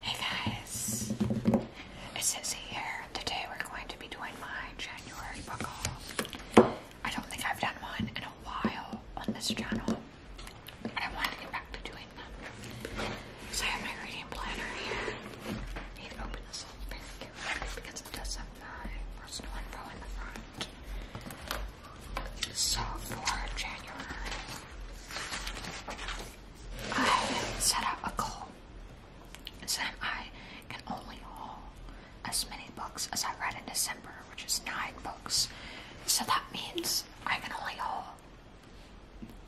Hey guys, it's Izzy here. Today we're going to be doing my January book haul. I don't think I've done one in a while on this channel, but I want to get back to doing them. So I have my reading planner here. I need to open this up very carefully because it does have my personal info in the front. So for January, I set up a goal, saying I can only haul as many books as I read in December, which is nine books. So that means I can only haul.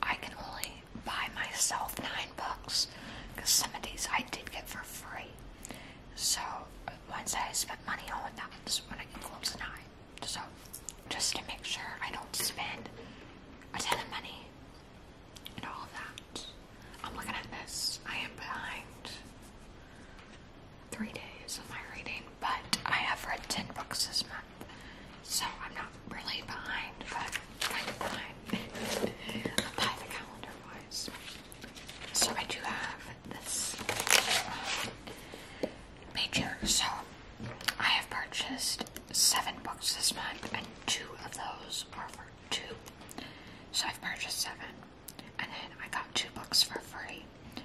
I can only buy myself nine books because some of these I did get for free. So uh, once I spent money on that, that's when I get close to nine. So, just to make sure I don't spend a ton of money and all that. I'm looking at this. I am behind three days of my reading, but I have read 10 books this month. So, I'm not really behind, but kind of behind by the calendar wise. So, I do have this. Um, major. So I have purchased seven books this month, and two of those are for two. So I've purchased seven, and then I got two books for free.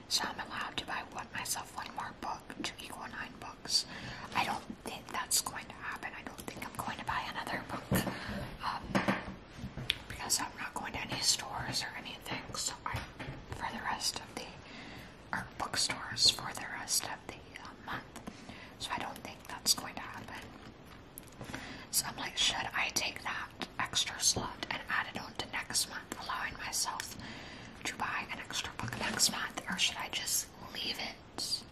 So I'm allowed to buy one myself one more book to equal nine books. I don't think that's going to happen. I don't think I'm going to buy another book um, because I'm not going to any stores or anything. So I, for the rest of the our bookstores for the rest of the uh, month. So I don't think that's going to happen. So I'm like, should I take that extra slot and add it on to next month, allowing myself to buy an extra book next month, or should I just leave it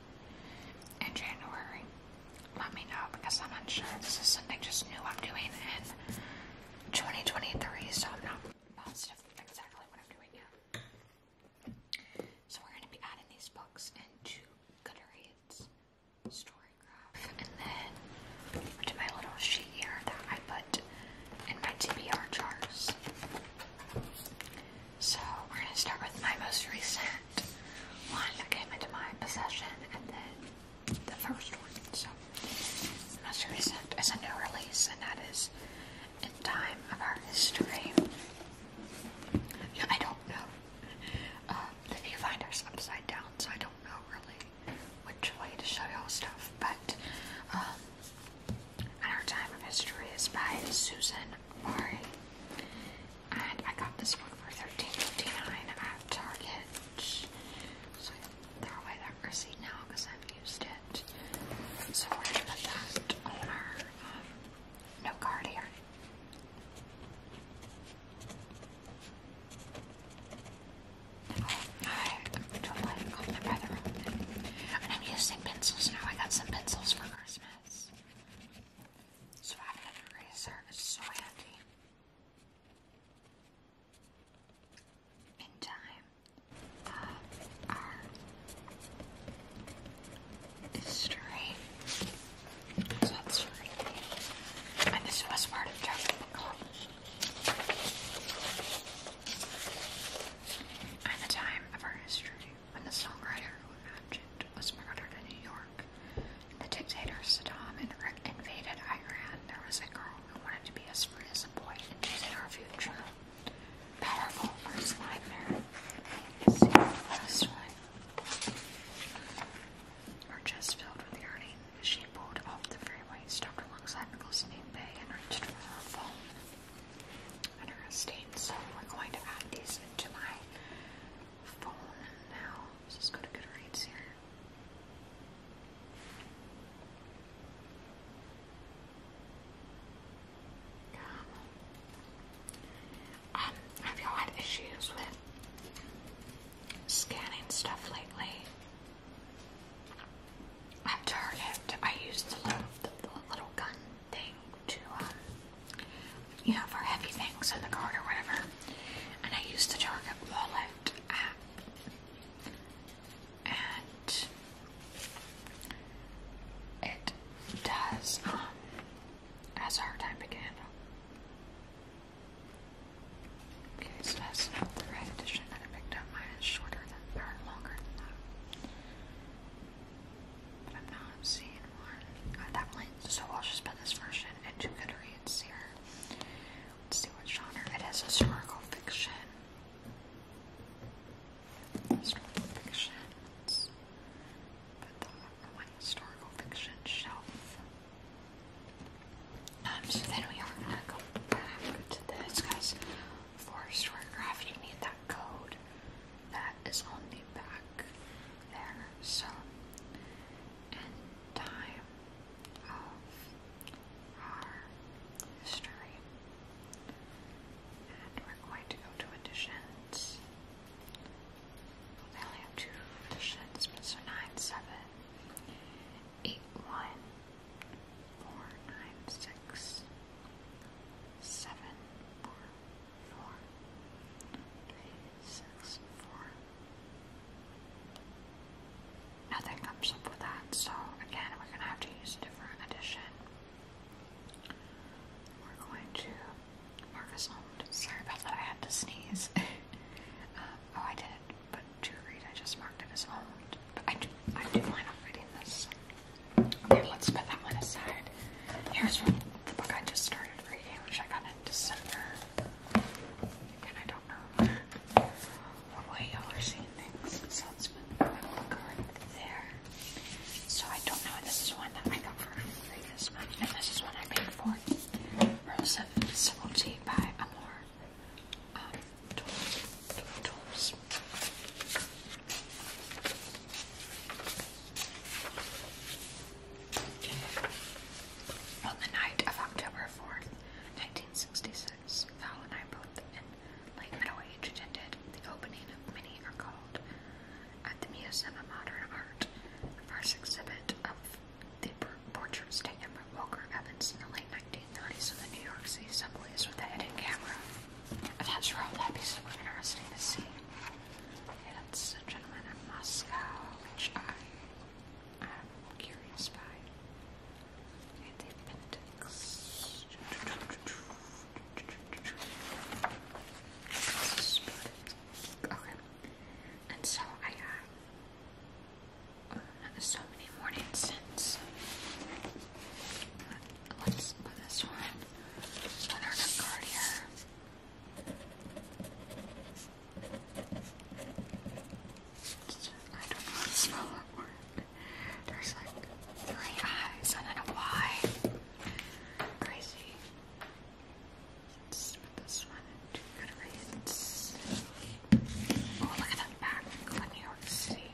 in January? Let me know because I'm unsure. This is something just new I'm doing in 2023, so I'm not positive exactly what I'm doing yet. So we're going to be adding these books into Goodreads Storygraph. And then to my little sheet here that I put in my TBR jars. So we're going to start with my most recent one that came into my possession and then the first one. So most recent is a new release and that is and time of our history. I don't know. Uh, the viewfinder's upside down, so I don't know really which way to show y'all stuff, but um, Our Time of History is by Susan Mari. And I got this book for 13 at Target. So I throw away that receipt now because i used um, card here. I don't like all the weather. And I'm using pencils now. I got some pencils for Christmas. So I have an eraser. It's so handy. In time our history. that's really and this was part of Dragon Club. And the time of our history, when the songwriter who imagined was murdered in New York, and the dictator Saddam invaded Iran, there was a girl who wanted to be as free as a boy and visit our future powerful first line there. see the last one. Her chest filled with yearning, she pulled off the freeway, stopped alongside the glistening bay, and reached for her phone and her estate. So we're going to add these into my phone now. Let's just go to Goodreads here. Um, have you had issues with scanning stuff lately? At Target, I used the little, the, little gun thing to, um, you know, for heavy things in the cart or whatever. And I used the Target wallet app and it does um, has a hard time picking Okay, so that's not the right edition that I picked up. Mine is shorter than or longer than that. I'm not seeing one at that point. So I'll just put this version into Goodreads here. see what genre. It is historical fiction. Historical fictions. Put them on my historical fiction shelf. so then we are gonna go back to this guys. For a story historiograph you need that code that is on the back there. So and time of our history we're going to go to additions. Well, they only have two additions, but so Nothing comes up with that, so again, we're going to have to use a different addition. We're going to Marcus owned. Sorry about that, I had to sneeze. Uh, oh, I did, but to read, I just marked it as owned. But I do, I do plan on reading this. Okay, let's put that one aside. Here's the book I just started reading, which I got in December. Again, I don't know the way y'all are seeing things. So let's there. So I don't know. This is one that I got for free this month, and this is one I paid for. Rose of Civility by Amor. Um, On the night of October 4th, 1966, since and I both in late middle attended the opening of many are called at the Museum of Modern Art, the first exhibit of the portraits taken by Walker Evans in the late 1930s of the New York City subways with a hidden camera. I'm that'd be so interesting to see. Okay, that's a gentleman in Moscow, which I am curious by and appendix. Okay. And so I have uh, so many morning scents. Let's put this one on our card here. I don't know how to spell that word. There's like three eyes. I don't know why. Crazy. Let's put this one into Goodreads. Oh, look at that back of New York City.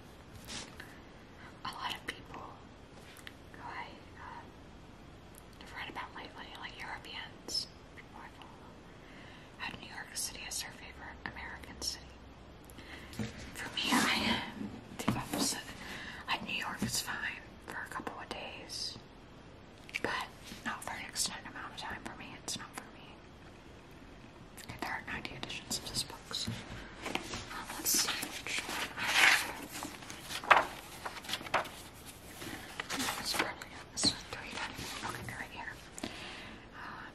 A lot of people who I uh, read about lately, like Europeans, people I New York City as their favorite American city. From here, I am the opposite. New York is fine for a couple of days, but not for an extended amount of time. For me, it's not for me. there are 90 editions of this book. Um, let's see which one I have. It's probably not this one. right here. Uh,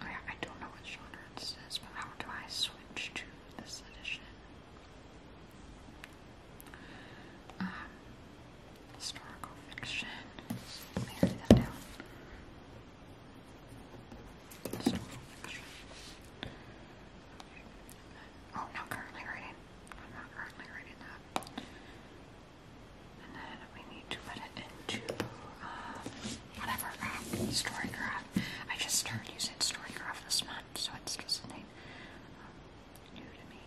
Oh, I, don't know what genre this is, but how do I switch to this edition? Um, historical fiction. Oh, not currently writing. I'm not currently writing that we need to put it into um, whatever um, StoryCraft. I just started using StoryCraft this month, so it's just something um, new to me.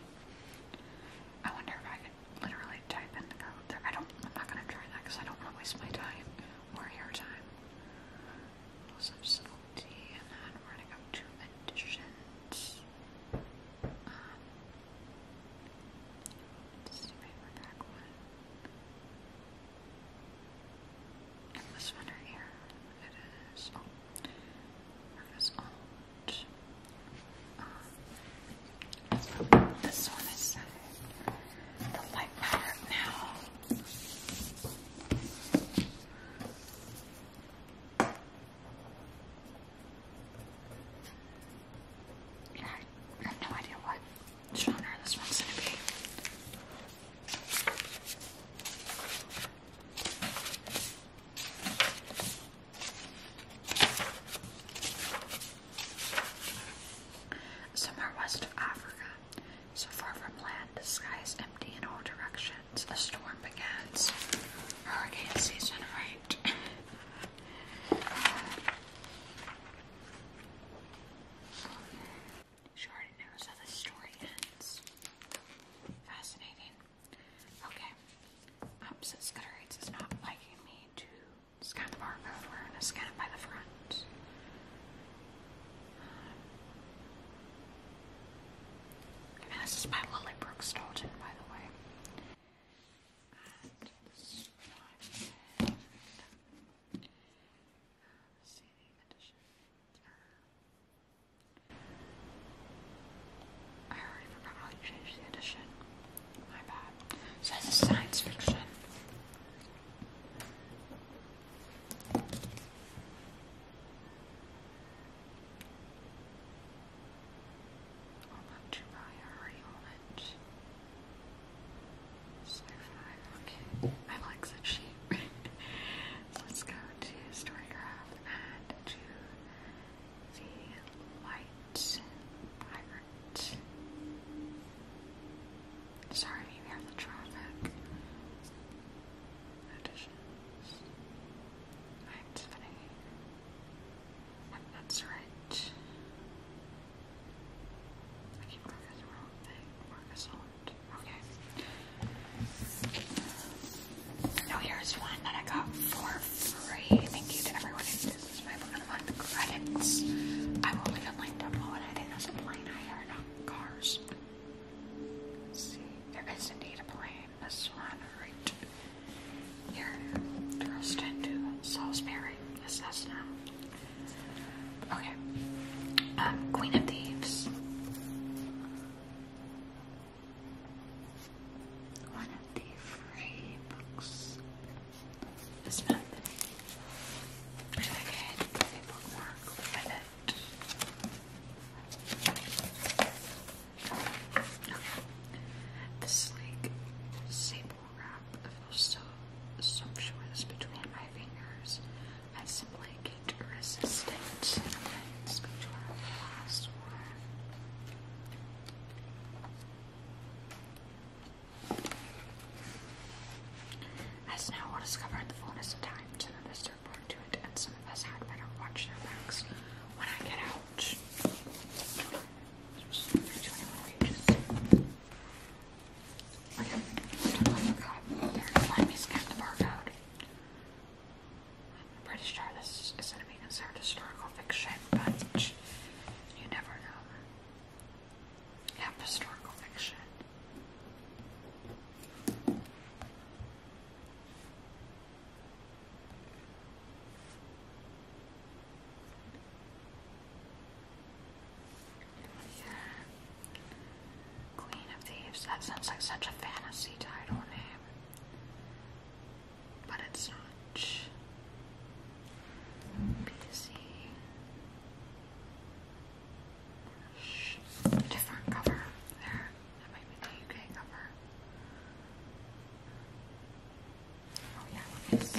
I wonder if I could literally type in the code I don't, I'm not going to try that because I don't want to waste my time or your time. So subtlety, and then we're going to go to additions. Um, let's see, one in this winter here, it is, oh. um, this one is set the light power now. I have no idea what genre this one's gonna be. Somewhere west of Africa, so far from land, the sky is empty in all directions. A storm begins. Hurricane season, right? She already knows how the story ends. Fascinating. Okay. Um, Opposite Scutterites is not liking me to scan the barcode. to by the front. this is by Lily Brooke Stoughton, by the way. I already forgot how you changed the edition. My bad. So this science fiction. Survive. Okay. I like that sheep. Let's go to Storycraft and to the White Pirate. Sorry if you the traffic. Additions. Right, that's right. I keep looking the wrong thing. Marcasant. Okay. Now here's one that I got for free. Thank you to everyone who did this. I'm going credits. I will leave it linked up I think there's a plane I heard cars. see, there is indeed a plane. This one right here, thrust into Salisbury, Cessna. Okay. Um, Queen of Thieves. One of the free books. This month. should I get a bookmark it? Okay. The wrap feels so sumptuous between my fingers. I simply get resistant. Okay, let's go to our last one. As now will discover in the fullness of time, some of us to it, and some of us had better watch their backs when I get out. Just 21 pages. I'm, pretty sure this is going to be considered historical fiction, but you never know. Yeah, historical fiction. Queen of Thieves. That sounds like such a fantasy title name. But it's not. Different cover there. That might be the UK cover. Oh yeah, This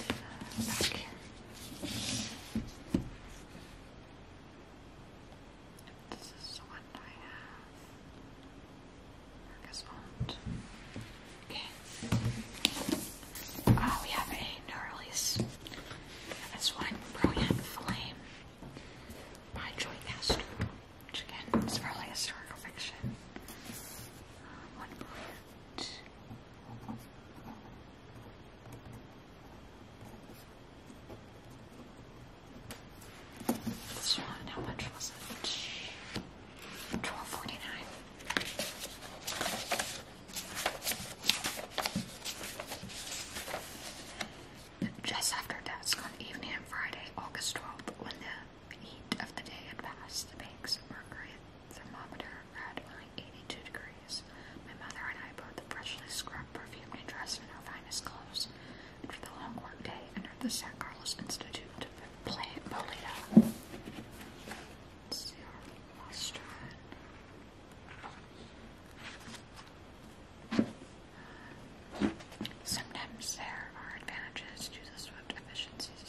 is the one I have. I guess Okay. Oh, we have a new release. This one, Brilliant Flame by Joy Castor, which again is really historical fiction. one brilliant how much was it? Twelve forty nine. Just after dusk on evening of Friday, August 12th, when the heat of the day had passed, the bank's mercury thermometer at only 82 degrees. My mother and I put the freshly scrubbed perfume and dressed in our finest clothes, and for the long work day entered the San Carlos Institute to play Bolita. Sometimes there are advantages to the swift efficiency of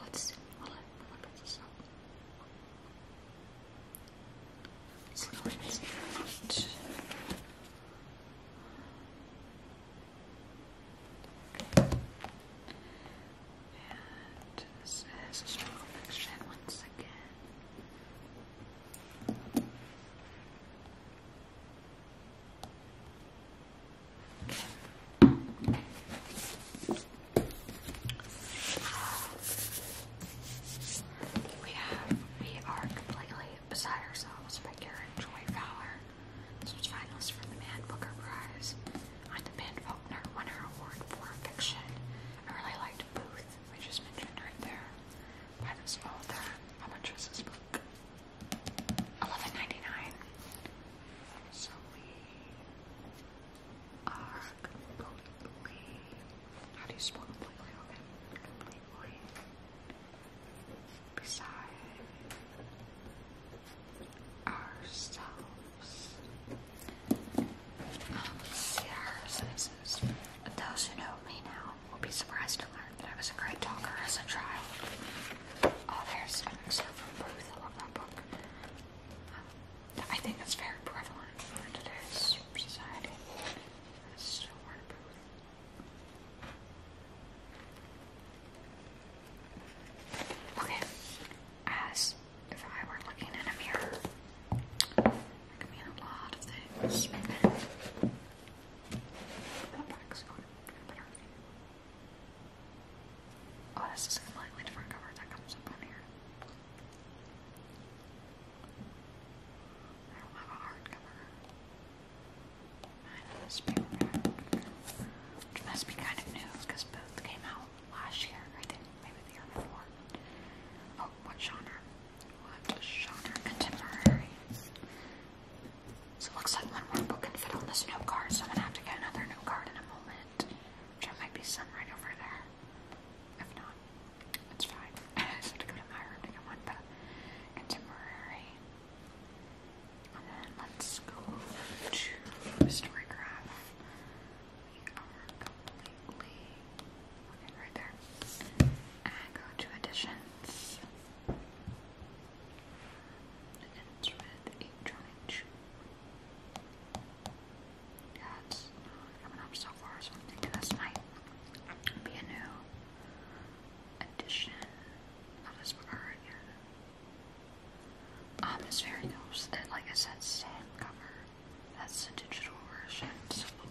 Let's well, look at this up. So let's not. And this is a struggle fiction once again. We have, we are completely beside ourselves by Garrett Joy Fowler. This was finalist for the Man Booker Prize on the Ben Faulkner Winner Award for Fiction. I really liked Booth, which is mentioned right there by this author. How much was this book? Eleven ninety nine. So we are completely. How do you spell completely? Okay, completely. Beside ourselves. Um, let Those who know me now will be surprised that I was a great talker as a child. Oh, there's an excerpt I love that book. I think it's very prevalent for today's society. Okay, as if I were looking in a mirror, I could mean a lot of things. Oh, this is a completely different cover that comes up on here. I don't have a hard cover. I must be kind of new because both came out last year, I maybe the year before. Oh, what genre? What genre? Contemporary. So it looks like one more book can fit on this note card, so I'm gonna have to get another note card in a moment. Which there might be some right over there. If not, it's fine. I just have to go to my room to one, but contemporary. And then let's go to Storygraph. We are completely looking right there. And go to editions and with a giant shoe. Yeah, it's coming up so far, so I'm thinking might be a new addition of this card. Um, it's very close. It, like I said, same cover. That's the digital version.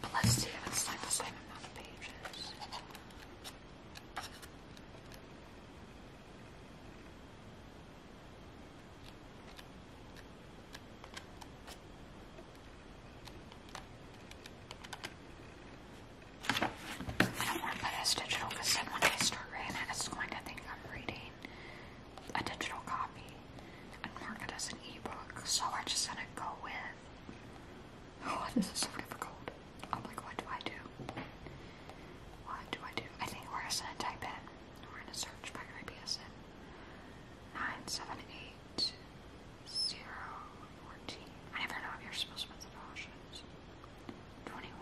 but let's see if it's like the same amount of pages. I'm gonna this digital because then when I start reading it's going to think I'm reading a digital copy and mark it as an ebook. So I just gonna go with Oh, Why is this so difficult? I'm like, what do I do? What do I do? I think we're gonna type in. We're gonna search by IBSN. 978014. I never know if you're supposed to put the options. 21.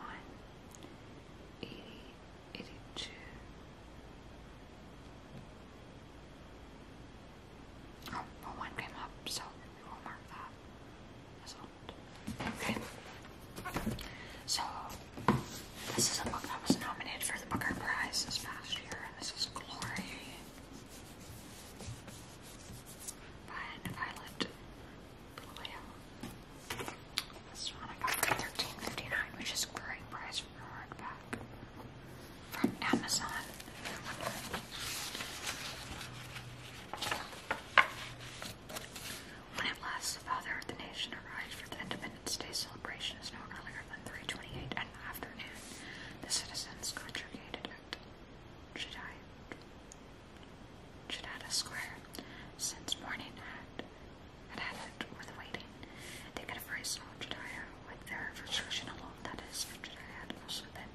80. 82. came up, so we will mark that Okay. So this is a book that was nominated for the Booker Prize this past year, and this is Glory by Violet Blue. This one I got for 13 which is a great price for a hardback from Amazon. When at last the father of the nation arrived for the Independence Day celebration is no earlier than 3.28 in the afternoon, the citizens congregated at Chidada Square. Since morning had, had it with waiting, they could have raised all Jediah with their frustration alone. That is, for had also been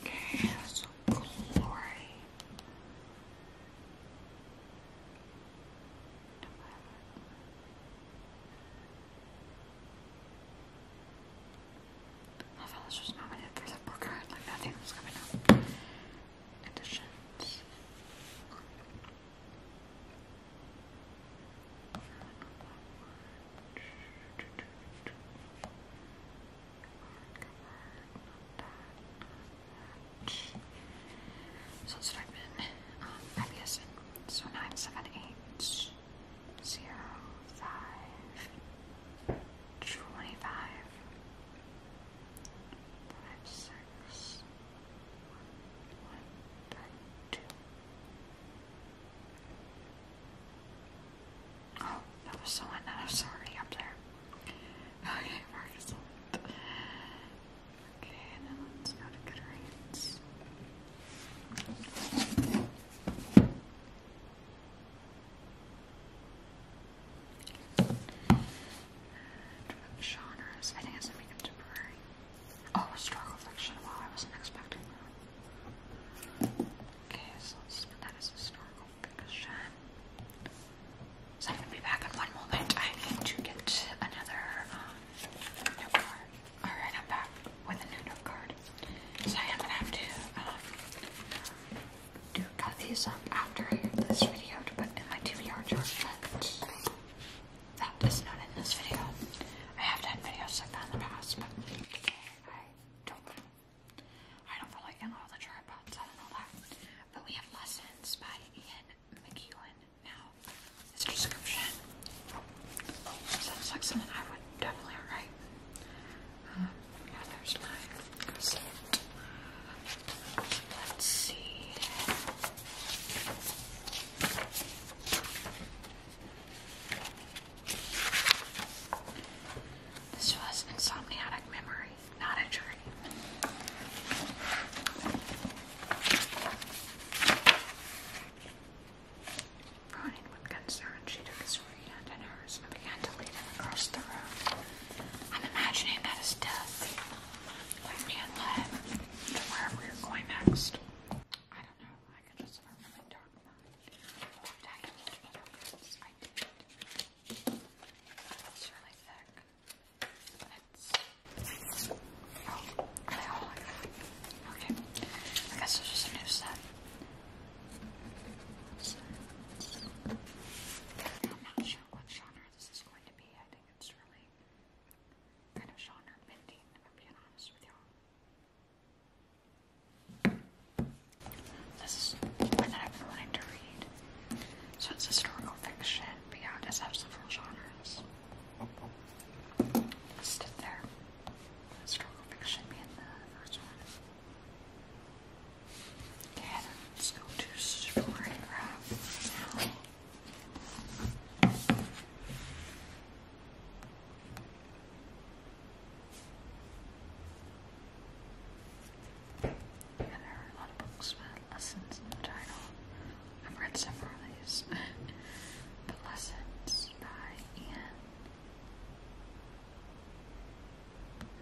Okay, so glory. I thought this was nominated for the Booker, like nothing was coming up. Editions. So that's what I've been um, IBSing. So nine seven eight zero five twenty five five six one one three two. Oh, that was so that Sorry, up there. Okay, Marcus. Okay, and then let's go to Genres. I think it's something temporary. Oh, historical fiction. Wow, I wasn't expecting Okay, so let's put that as historical fiction. So I'm gonna be back in one moment. I need to get another um, note card. Alright, I'm back with a new note card. So I am gonna have to um, do cut these up after this video to in my DVR charge. But that is not in this video. I have done videos like that in the past, but I don't I don't really in all the tripods, I don't know that. But we have lessons by Ian McEwen now. It's description. Sounds like something I would definitely write. Um, yeah, there's mine. Let's see. This was insomniatic memory, not a dream. Running with concern, she took his free hand in hers and began to lead him across the room. I'm imagining that is death. Let me and led to wherever you're going next. I don't know. I can get interviews. guess it's just a new set. I'm not sure what genre this is going to be. it's really kind of genre bending, if I'm being honest with you this is one that I've been wanting to read. So it's historical fiction, but yeah, it does have several genres. Listed there. Historical fiction being the first one. Okay, let's go to story now there are a lot of books with lessons in the title. I've read several of these. the Lessons by Ian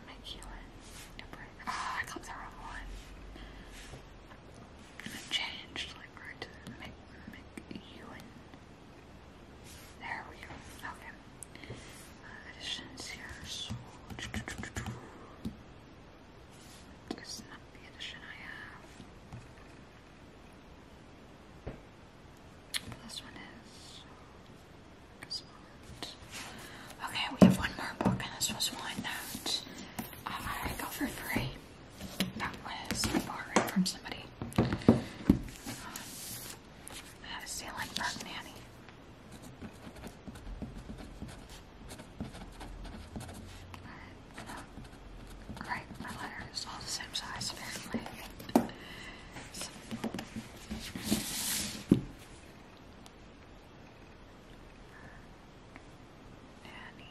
McEwen. Ah, I got the wrong one. And referred to There we go. Okay. Uh, here. So it's not the edition I have. This one is. Uh, okay, we have one more book, and this was one that I got for free. That was borrowed from somebody. Uh, I had a ceiling bug nanny. Alright, uh, my letter is all the same size apparently. so. Nanny.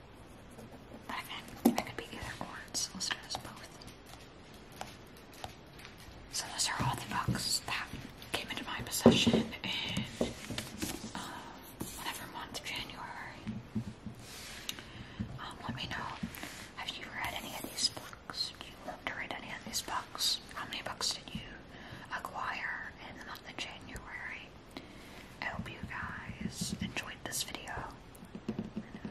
So those are all the books that came into my possession in uh, whatever month, January. Um, let me know, have you read any of these books? Do you love to read any of these books? How many books did you acquire in the month of January? I hope you guys enjoyed this video.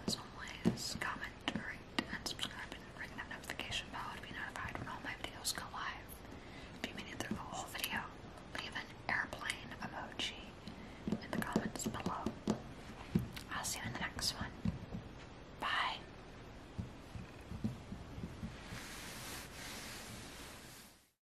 as always, comment, rate, and subscribe, and ring that notification bell to be notified when all my videos go live. If you made it through the whole video, leave an airplane emoji in the comments below. I'll see you in the next one. Bye.